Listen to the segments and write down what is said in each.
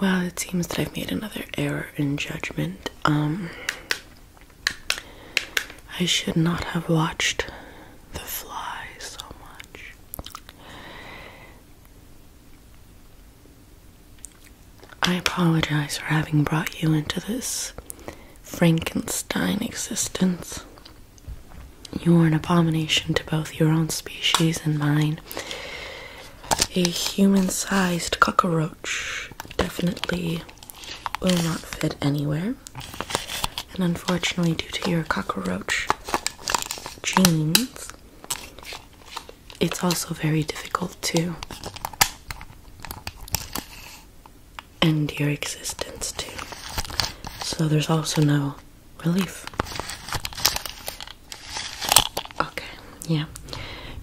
Well, it seems that I've made another error in judgment. Um, I should not have watched The Fly so much. I apologize for having brought you into this Frankenstein existence. You are an abomination to both your own species and mine a human-sized cockroach definitely will not fit anywhere and unfortunately due to your cockroach genes it's also very difficult to end your existence too so there's also no relief. Okay, yeah.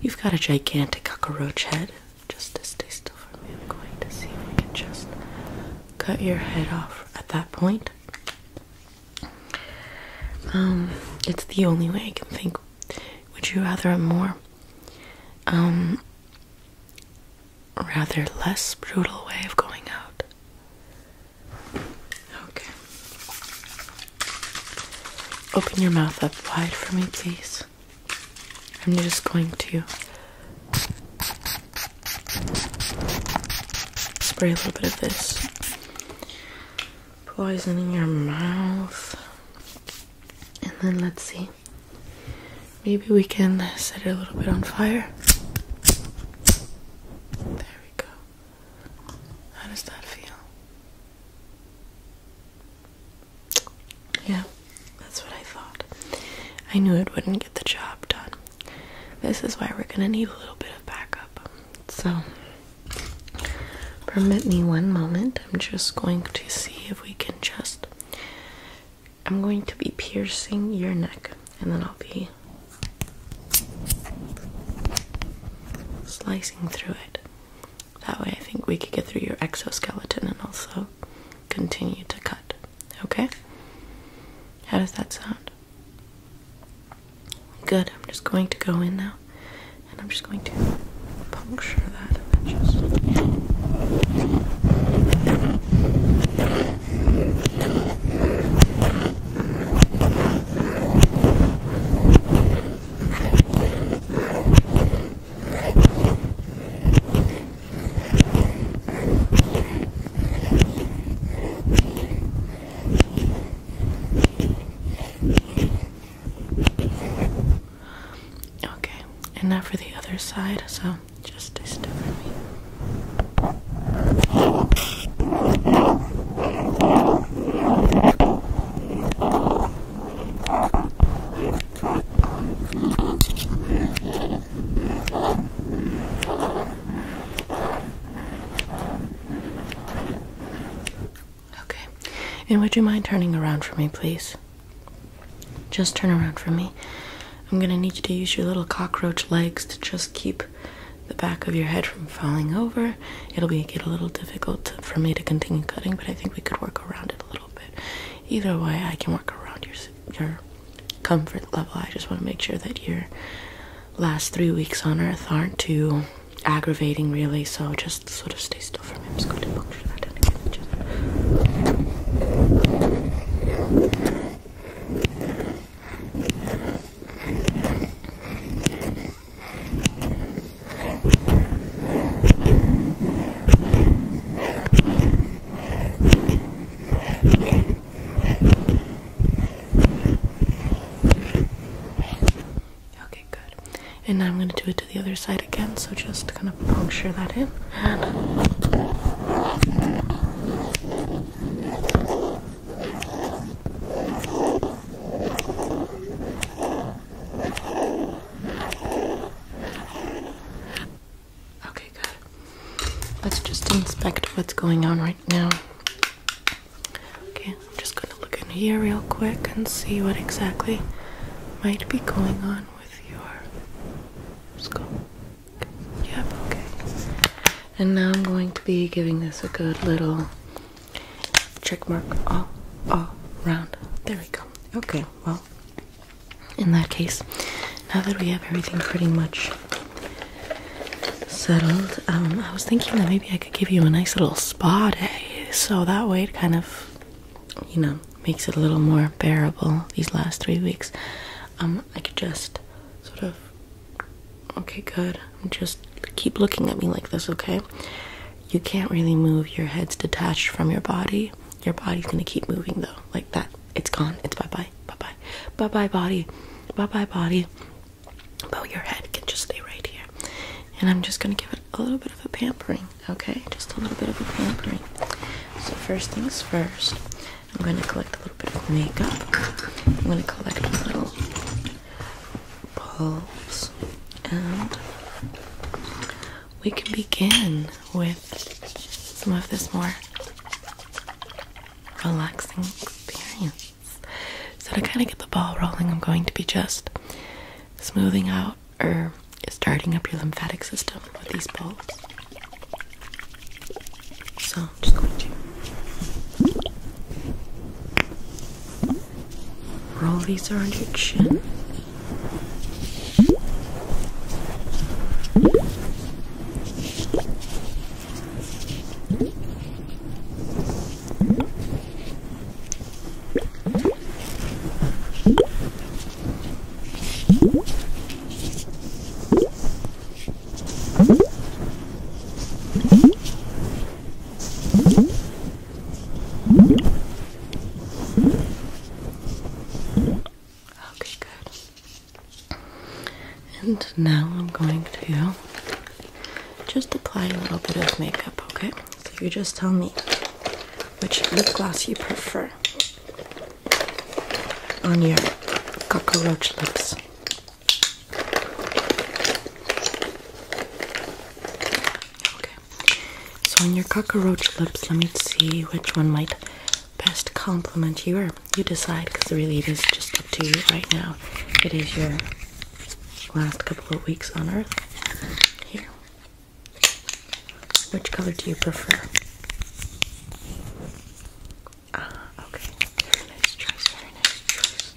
You've got a gigantic cockroach head. Just to stay still for me, I'm going to see if we can just cut your head off at that point. Um, it's the only way I can think. Would you rather a more, um, rather less brutal way of going out? Okay. Open your mouth up wide for me, please. I'm just going to spray a little bit of this poison in your mouth. And then let's see. Maybe we can set it a little bit on fire. There we go. How does that feel? Yeah, that's what I thought. I knew it wouldn't get the job done. This is why we're gonna need a little bit of backup. So, permit me one moment. I'm just going to see if we can just. I'm going to be piercing your neck and then I'll be slicing through it. That way, I think we could get through your exoskeleton and also continue to cut. Okay? How does that sound? Good. I'm just going to go in now and I'm just going to puncture that Okay, and now for the other side, so just to stare at Okay. And would you mind turning around for me, please? Just turn around for me. I'm gonna need you to use your little cockroach legs to just keep the back of your head from falling over. It'll be get a little difficult for me to continue cutting, but I think we could work around it a little bit. Either way, I can work around your your comfort level. I just want to make sure that your last three weeks on Earth aren't too aggravating, really. So just sort of stay still for me. Okay, good. And now I'm going to do it to the other side again, so just kind of puncture that in. Okay, good. Let's just inspect what's going on right now. Okay, I'm just going to look in here real quick and see what exactly might be going on with your skull. Yep, okay. And now I'm going to be giving this a good little check mark all, all around. There we go. Okay, well, in that case, now that we have everything pretty much settled, um, I was thinking that maybe I could give you a nice little spa day. So that way it kind of, you know, makes it a little more bearable these last three weeks um, I could just sort of okay, good. Just keep looking at me like this, okay? You can't really move. Your head's detached from your body. Your body's gonna keep moving though, like that. It's gone. It's bye bye, bye bye, bye bye body, bye bye body. But your head can just stay right here. And I'm just gonna give it a little bit of a pampering, okay? Just a little bit of a pampering. So first things first, I'm going to collect a little bit of makeup. I'm going to collect a little bulbs, and we can begin with some of this more relaxing experience. So to kind of get the ball rolling, I'm going to be just smoothing out or starting up your lymphatic system with these balls. So I'm just going to roll these around your chin. Okay, good. And now I'm going to just apply a little bit of makeup, okay? So you just tell me which lip gloss you prefer on your cockroach lips. Okay, so on your cockroach lips, let me see which one might best compliment you, or you decide because really it is just up to you right now. It is your last couple of weeks on earth. Here, which color do you prefer? Ah, okay. Very nice choice, very nice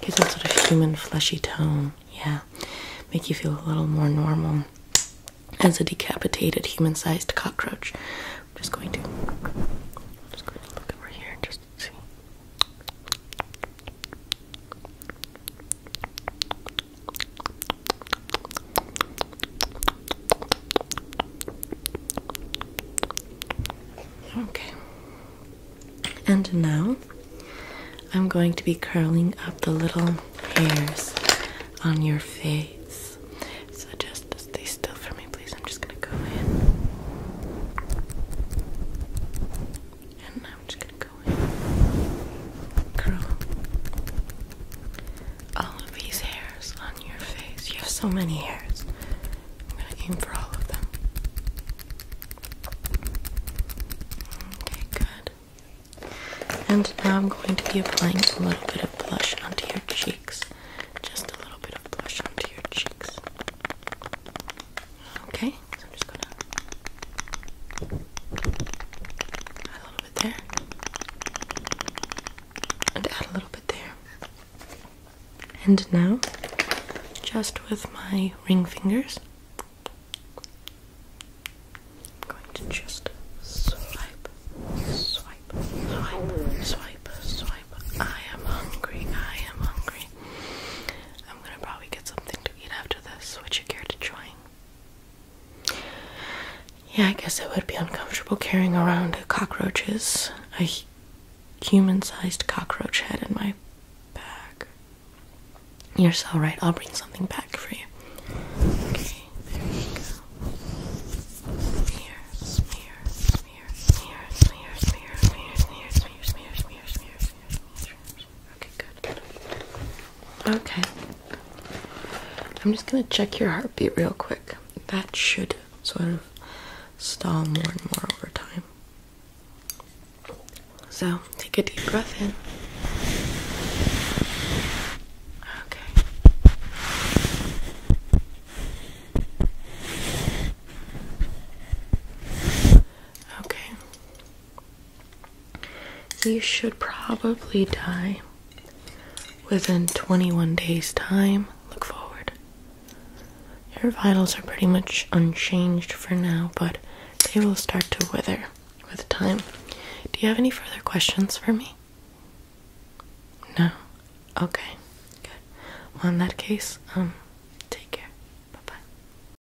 Gives that sort of human fleshy tone. Yeah. Make you feel a little more normal. As a decapitated human-sized cockroach. I'm just going to just going to look over here just see. Okay. And now I'm going to be curling up the little hairs on your face. So just stay still for me, please. I'm just going to go in. And I'm just going to going. all of these hairs on your face. You have so many hairs. I'm going to aim for all of them. Okay, good. And now I'm going to be applying a little bit of blush onto your cheeks. Just a little bit of blush onto your cheeks. Okay, just gonna add a little bit there and add a little bit there. And now, just with my ring fingers, I'm going to just swipe, swipe, swipe, swipe, swipe. I am hungry, I am hungry. I'm gonna probably get something to eat after this. Would you care to join? Yeah, I guess it would be uncomfortable carrying around cockroaches, a human sized cockroach head in my bag. You're so right, I'll bring something back for you. Okay, good. Okay. I'm just gonna check your heartbeat real quick. That should sort of stall more and more over time. So take a deep breath in. Okay. Okay. You should probably die within 21 days' time. Look forward. Your vitals are pretty much unchanged for now, but they will start to wither with time. Do you have any further questions for me? No? Okay. Good. Well, in that case, um, take care. Bye bye.